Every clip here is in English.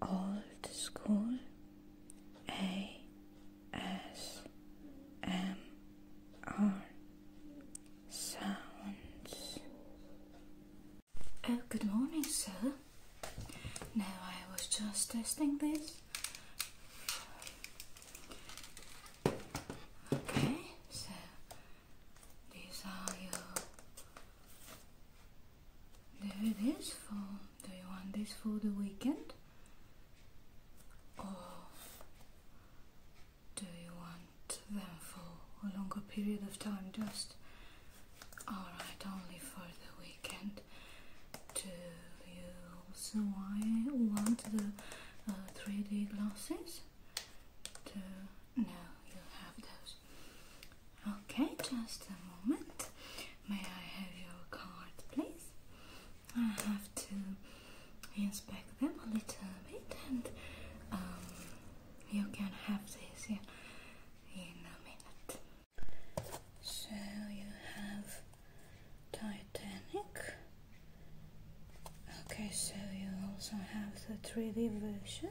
Old School ASMR sounds. Oh, good morning, sir. Now I was just testing this. Okay, so these are your there it is for. Do you want this for the weekend? Or do you want them for a longer period of time? Just alright, only for the weekend. Do you also want the 3D uh, glasses? To, no, you have those. Okay, just a moment. May I have your card, please? I have to inspect them a little bit, and um, you can have this in, in a minute. So you have Titanic. Okay, so you also have the 3D version.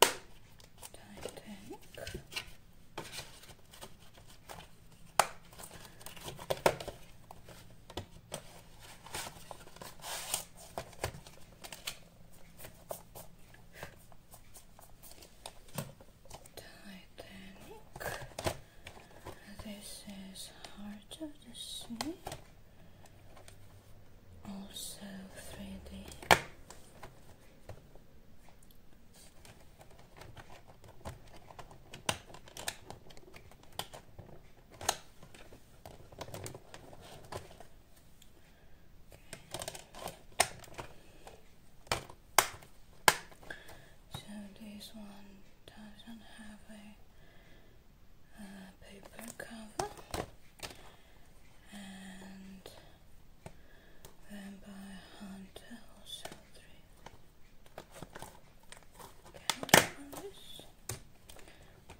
Titanic. Titanic. This is Heart of the Sea also 3D So this one doesn't have a paper cover and then by Hunter or Seltry.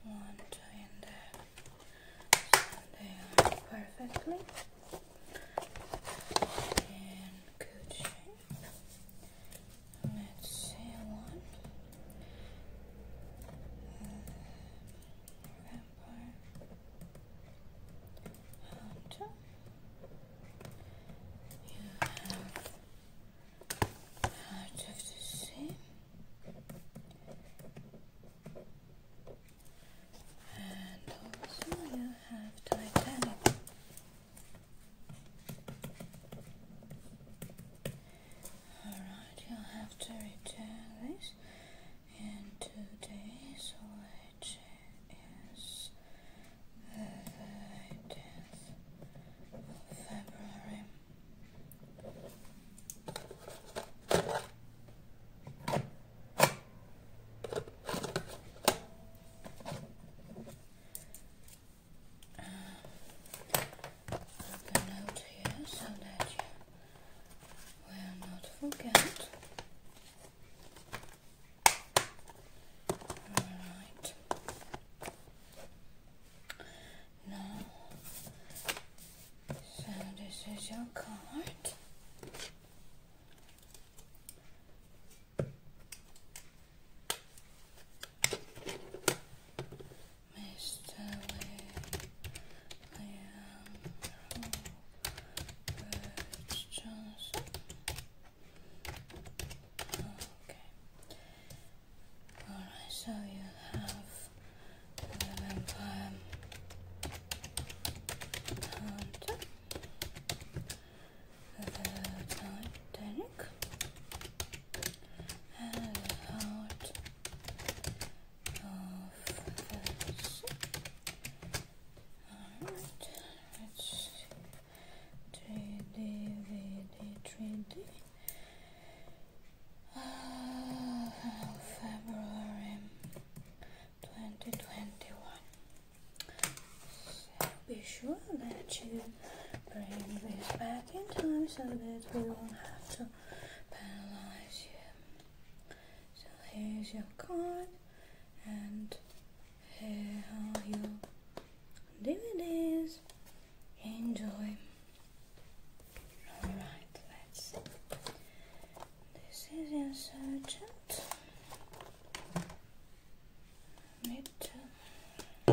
One in there they are perfectly in good shape. Let's see one. Uh, vampire hunter. You have Heart of the Sea. And also you have Titanic. Alright, you'll have to return this in two days, which is the 10th of February um, a here so that you will not forget. Alright. Now, so this is your card. Mr. Liam Robert Okay. Alright, so you have uh, the vampire hunter, the Titanic, out of this. Alright, let's see. 3D, VD, 3D. February 2021. Be sure that you bring this back in time so that we won't have to penalize you. So here's your card and here are your DVDs. Enjoy. Alright, let's see. This is insurgent. Mid. Uh,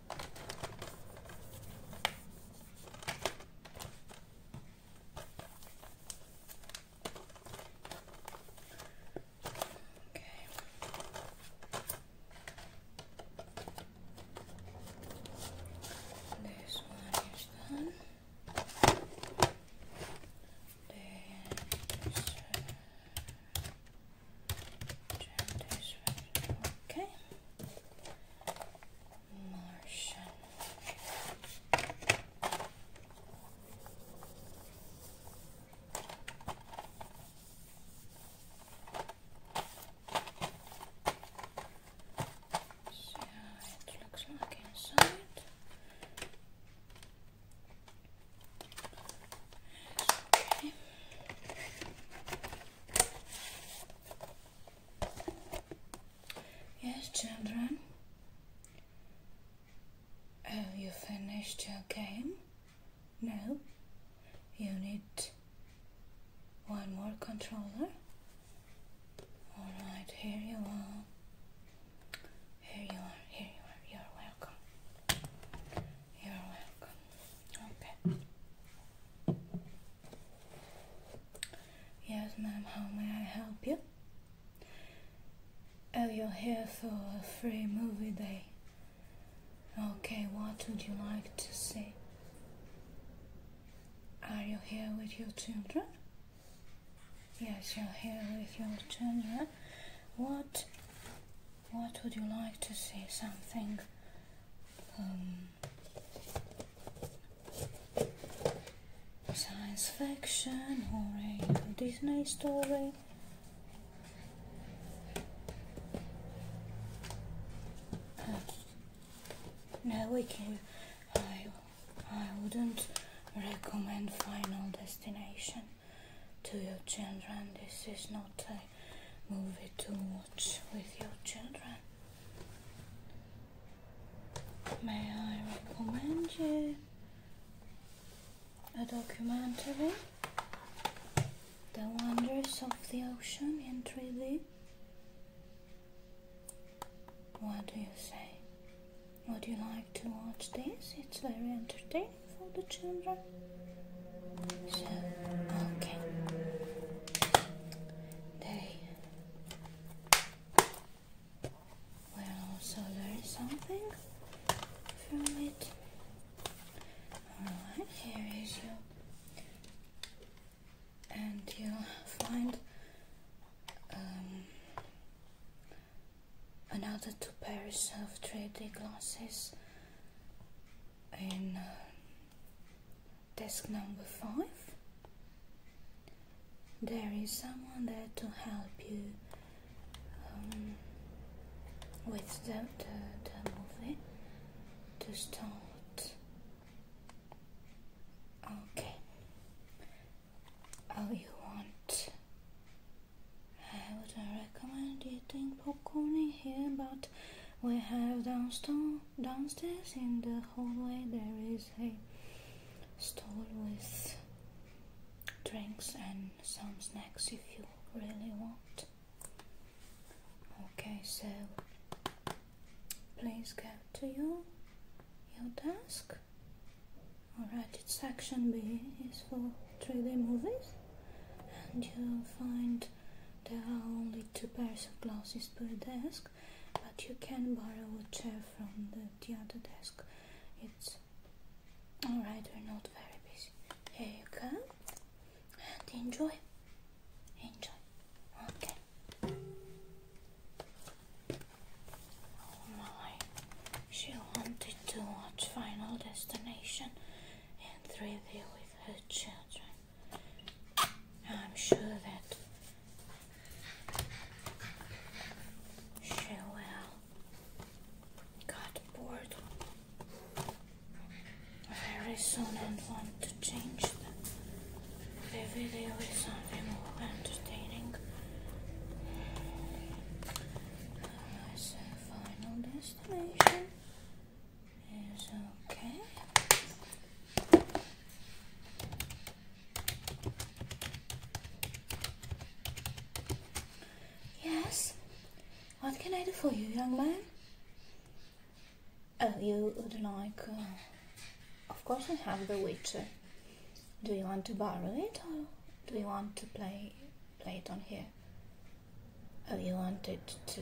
Okay. This one is done. This, uh, this Okay. Martian. So it looks like inside. Okay. Yes, children. Have you finished your game? No. You need one more controller. Alright, here you are. Here you are, here you are. You're welcome. You're welcome. Okay. Yes, ma'am, how may I help you? Oh, you're here for a free movie day. Okay, what would you like to see? Are you here with your children? Yes, you're here with your children. What what would you like to see? Something um, Science fiction or Disney story. Uh, no, we can. I, I wouldn't recommend Final Destination to your children. This is not a movie to watch with your children. May I recommend you a documentary, The Wonders of the Ocean in 3D? What do you say? Would you like to watch this? It's very entertaining for the children. So, okay. They will also learn something from it. Alright, here is you. And you'll find um, another two pairs of 3D glasses in uh, Task number 5 There is someone there to help you um, with the, the, movie to start. Okay. Oh, you want. I would recommend eating popcorn in here, but we have downstone, downstairs in the hallway there is a stall with drinks and some snacks if you really want. Okay, so please go to your your desk. Alright, it's section B is for 3D movies and you'll find there are only two pairs of glasses per desk, but you can borrow a chair from the, other desk. It's alright, we're not very busy. Here you go, and enjoy. Enjoy. Okay. Oh my, she wanted to watch Final Destination in 3D with her children. I'm sure that she will got bored very soon and want to change the, the video with something more entertaining. As final destination is okay. Yes. What can I do for you, young man? Oh, you would like. Uh, of course, I have The Witcher. Do you want to borrow it or do you want to play play it on here? Oh, you wanted to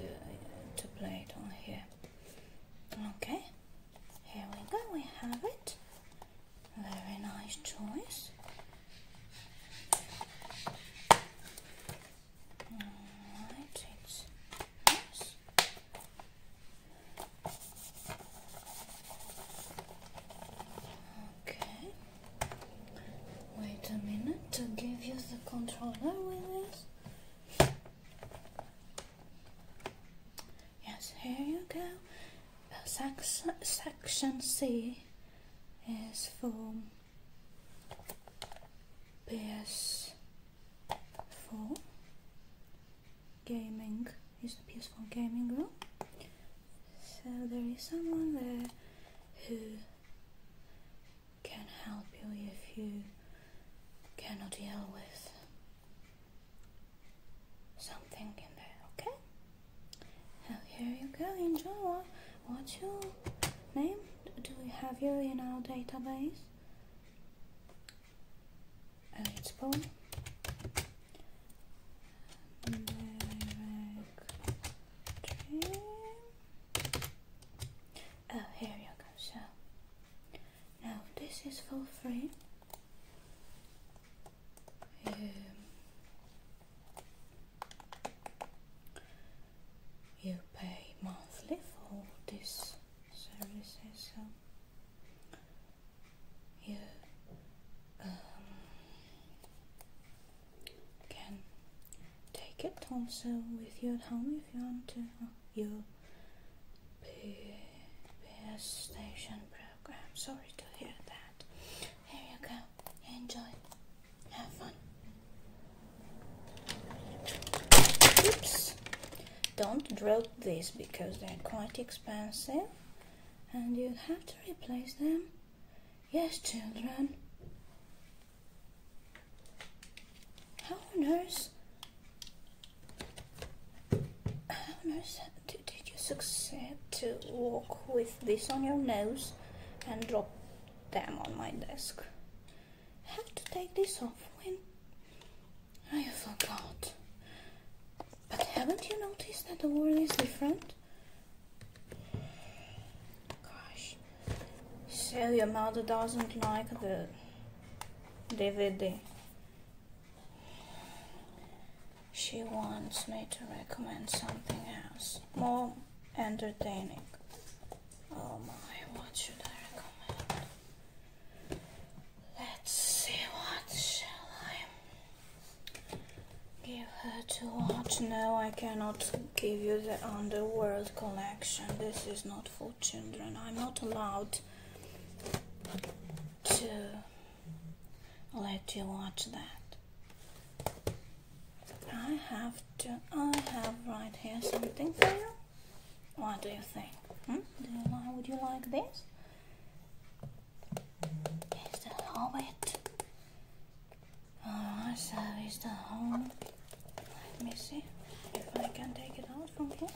to play it on here. Okay, here we go. We have it. Very nice choice. Alright, it's nice. Okay. Wait a minute to give you the controller with this. Yes, here you go. Section, C is for PS4 gaming. Is the PS4 gaming room? So there is someone there who can help you if you cannot deal with something in there, okay? Now here you go, enjoy. What's your name? Do we have you in our database? Uh, it's Paul. Oh, here you go. So now this is for free. Um, you pay monthly for this services. So you um, can take it also with you at home if you want to. Oh, you PS station program. Sorry to hear that. Here you go. Enjoy. Have fun. Oops. Don't drop these because they're quite expensive and you'll have to replace them. Yes, children. How on How on earth did, you succeed to walk with this on your nose and drop them on my desk? Have to take this off when I forgot? But haven't you noticed that the world is different? Gosh. So your mother doesn't like the DVD. She wants me to recommend something else, more entertaining. Oh my, what should I recommend? Let's see, what shall I give her to watch? No, I cannot give you the Underworld collection. This is not for children. I'm not allowed to let you watch that. I have to. I have right here something for you. What do you think? Hmm? Would you like this? It's the Hobbit. Oh, so it's the Hobbit. Let me see if I can take it out from here.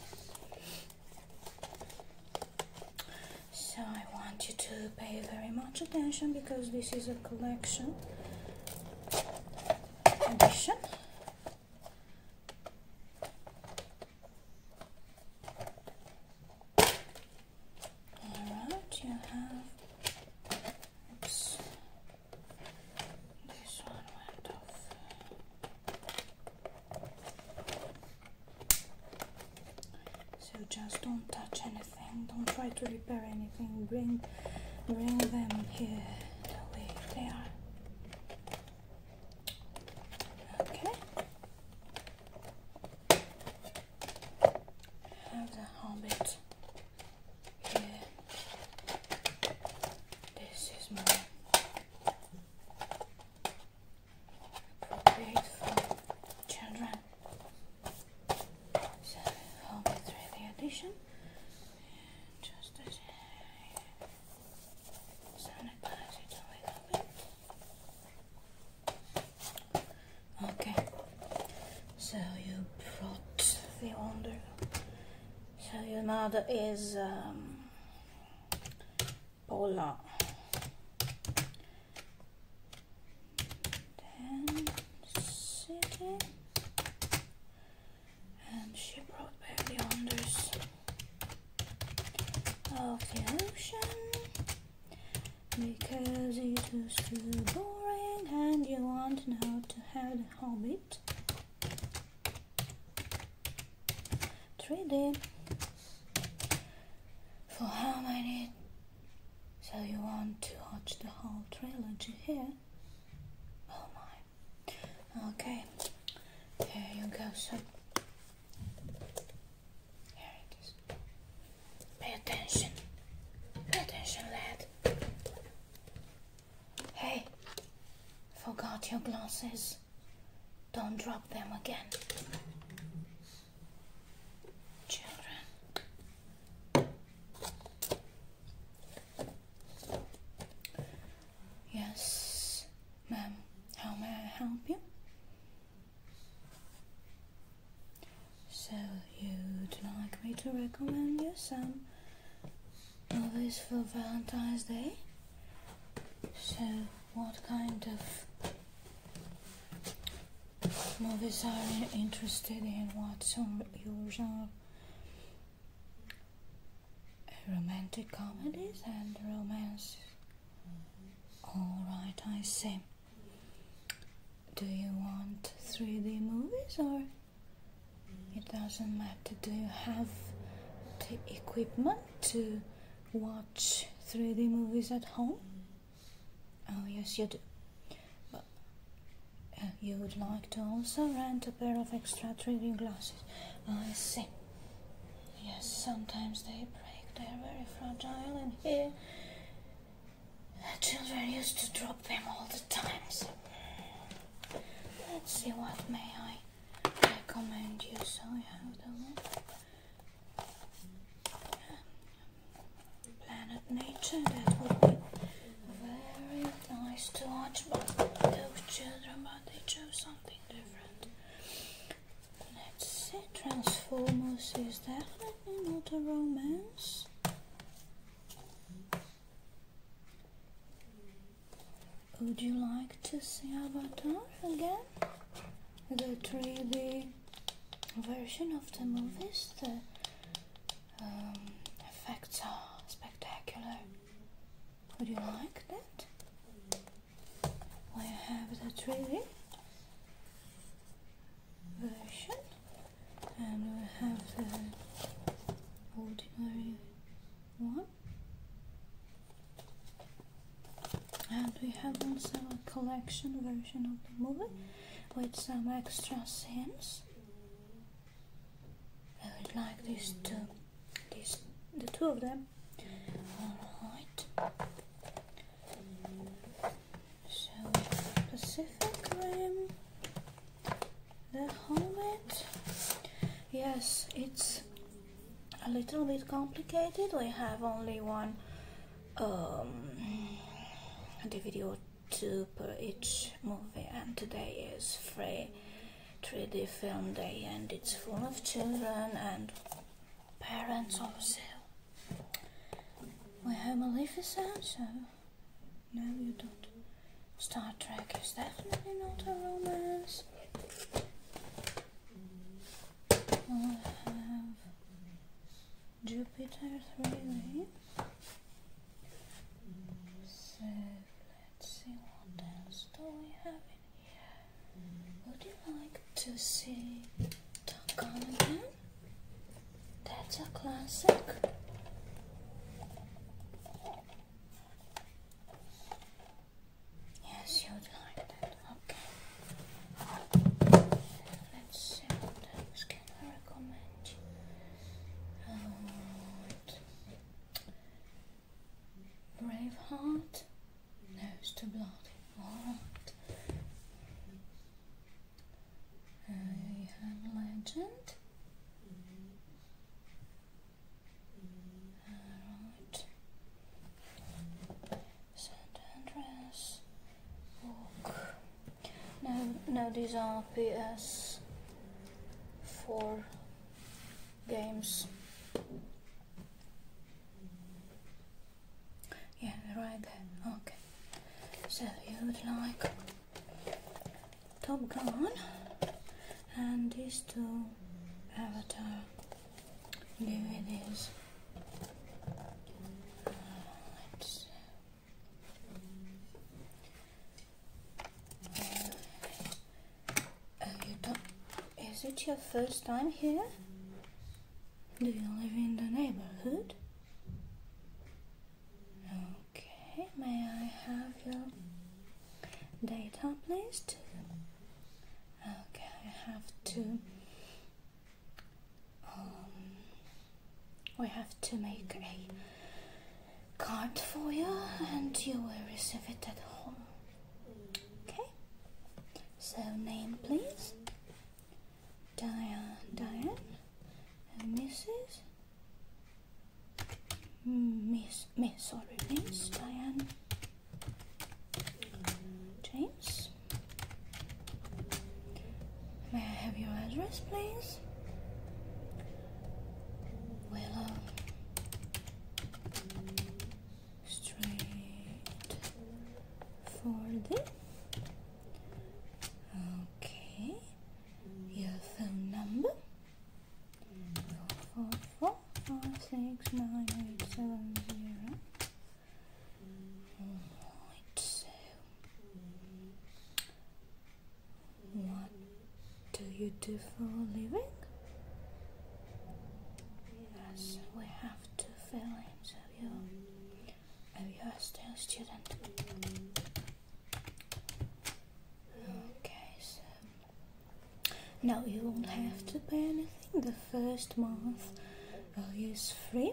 So I want you to pay very much attention because this is a collection edition. Alright, you have this one went off. So just don't touch anything. Don't try to repair anything. Bring, bring them here the way they are. Okay. Have the hobbit here. This is my appropriate for children. So I'll get just a little Okay. So you brought the under so your node is um, polar and she brought back the wonders of the ocean because it was too boring and you want now to have the hobbit 3D for how many so you want to watch the whole trilogy here oh my okay here you go so here it is pay attention pay attention lad Hey, forgot your glasses. Don't drop them again. Children. Yes, ma'am. How may I help you? So, you'd like me to recommend you some all for Valentine's Day. So, what kind of movies are you interested in? What's your genre? Romantic comedies and romance. Alright, I see. Do you want 3D movies or it doesn't matter. Do you have the equipment to watch 3D movies at home? Oh, yes, you do. But uh, you would like to also rent a pair of extra 3D glasses. Oh, I see. Yes, sometimes they break. They are very fragile, and here children used to drop them all the times. Let's see what may I recommend you. So you have the Planet Nature. That would be very nice to watch. But those children, but they chose something different. Let's see. Transformers is definitely not a romance. Would you like to see Avatar again? The 3D version of the movies, the um, effects are spectacular. Would you like that? We have the 3D version and we have the ordinary one and we have also a collection version of the movie with some extra scenes I would like these two these the two of them alright so Pacific Rim the helmet yes it's a little bit complicated we have only one um, DVD or per each movie and today is free 3D film day and it's full of children and parents also we have a Maleficent so no, you don't. Star Trek is definitely not a romance. we have Jupiter 3 waves. So let's see what else do we have in here. Would you like to see Tarkon again? That's a classic. Yes, you like that. Okay. Let's see what else can I recommend. Um, Braveheart? No, to too bloody. Alright. Uh, Legend? Right. Saint No, these are PS4 games. Yeah, right there. Okay. So you would like Top Gun and these two Avatar DVDs. Uh, let is it your first time here? Do you live in the neighborhood? Okay, may I have your data, please? Okay, I have to. Um, we have to make a card for you, and you will receive it at home. Okay. So name, please. Diane. Diane. And Mrs. Miss, Miss, sorry, Miss Diane James. May I have your address, please? Willow Street Forty. Okay, your phone number four, four, five, six, nine, eight, seven, zero. Alright, so what do you do for a living? Yes, we have to fill in, so you, oh, you are still a student. Okay, so now you won't have to pay anything. The first month is free,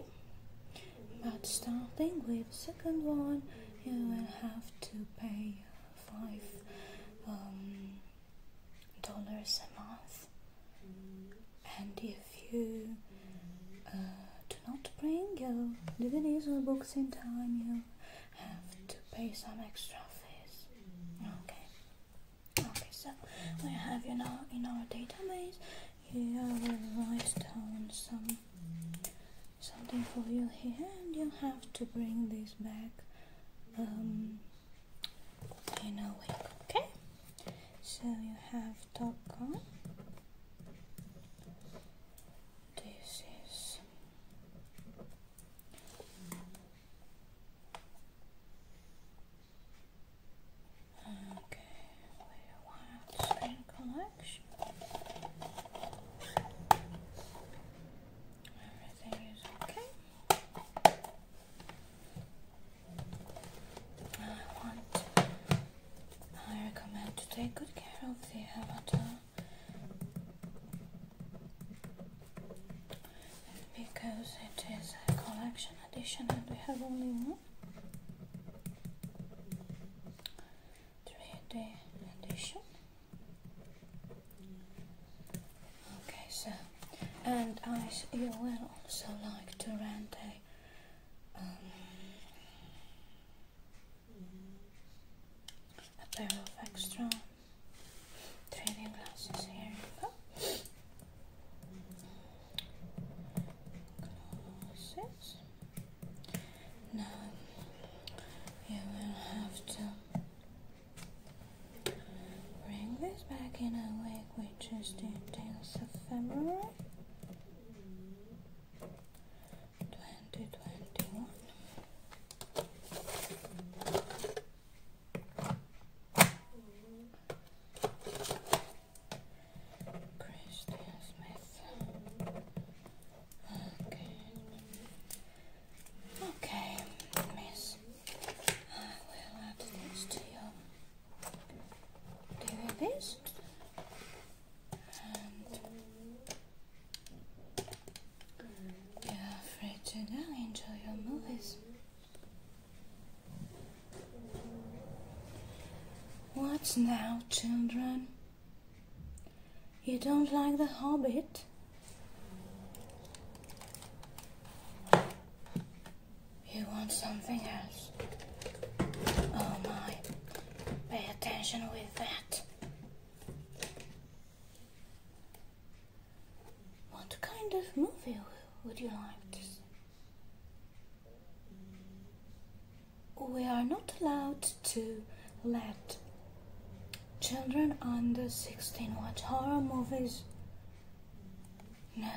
but starting with the second one, you will have to pay five um, dollars a month. And if you uh, do not bring your DVDs or books in time, you have to pay some extra fees. Okay. Okay, so we have you know in our database here we write down some something for you here and you have to bring this back um, in a week, okay? So you have Toko. This is Okay, we have spring collection. Everything is okay. I want. I recommend to take good care of the avatar because it is a collection edition and we have only one 3D edition okay so and I you will also like to rent a um, a pair of extra training glasses here. Glasses. Now you will have to bring this back in a week, which is the 10th 2021. Christian Smith. Okay. Okay, miss. I will add this to your list you're afraid to now enjoy your movies. What's now, children? You don't like The Hobbit? You want something else? Oh my, pay attention with that. What kind of movie would you like to see? We are not allowed to let children under 16 watch horror movies. No.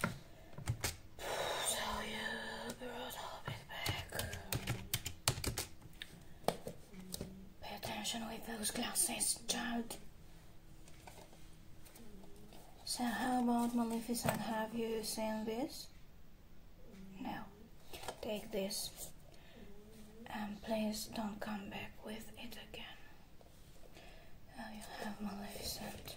Tell you, girls, I'll back. Pay attention with those glasses, child. So, how about Maleficent? Have you seen this? No. Take this. And please don't come back with it again. Oh, you have my Maleficent.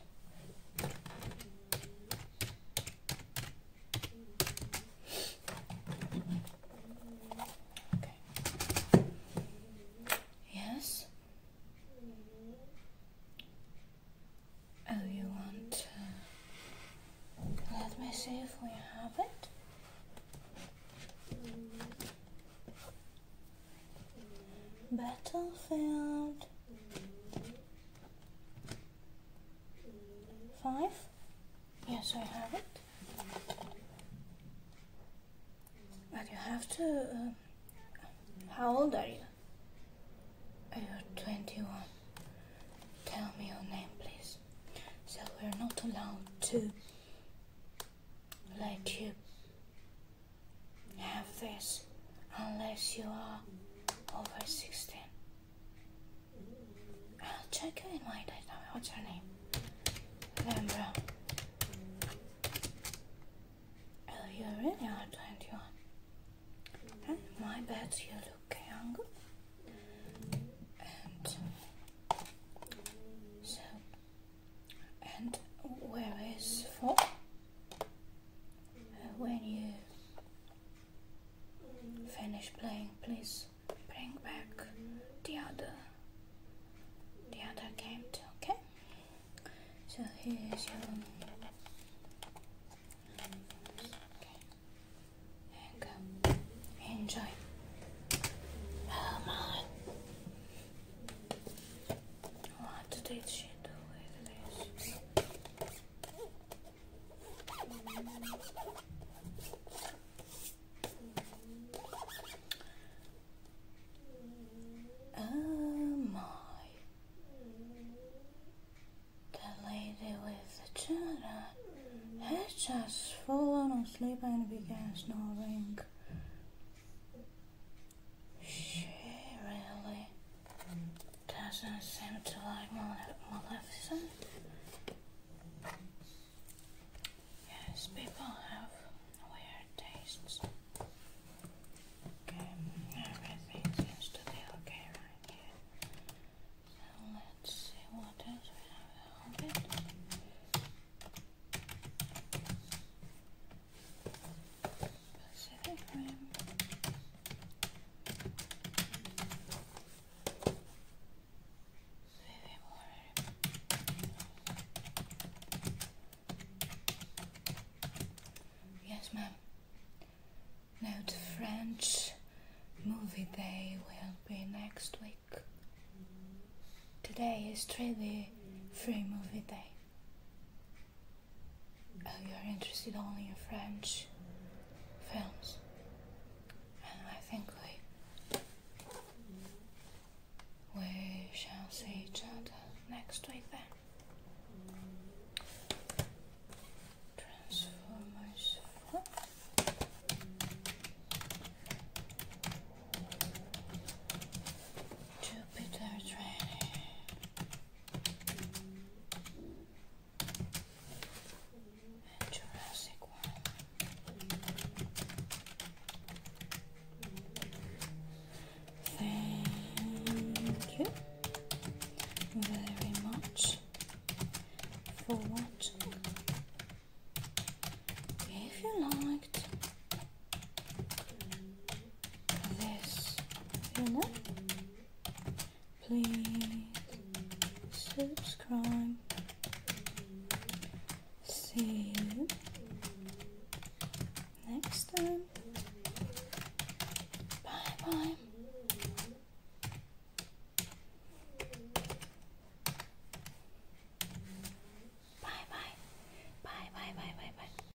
Okay. Yes. Oh, you want? Uh, let me see if we have it. Battlefield 5. Yes, I have it. But you have to. Um, how old are you? You're 21. Tell me your name, please. So we're not allowed to let you have this unless you are over 16. I'll check you in my data. What's your name? Lembra. Oh, you really are 21. And my bad, you look younger. And so, and where is 4? Uh, when you finish playing, please bring back the other the other game too, okay? So here's your okay. and um, enjoy. Oh my Oh my! The lady with the child has just fallen asleep and began snoring. She really doesn't seem to like Malef Maleficent. Yes, people have weird tastes. everything seems to be okay right So let's see what else we have. Yes, ma'am. Now the French movie day will be next week. Today is 3 free movie day. Oh, you are interested only in French films. And I think we we shall see each other next week then. Transform myself. Jupiter Thank you very much for watching. If you liked this channel. Please subscribe. See you next time. Bye bye. Bye bye. Bye bye bye bye bye.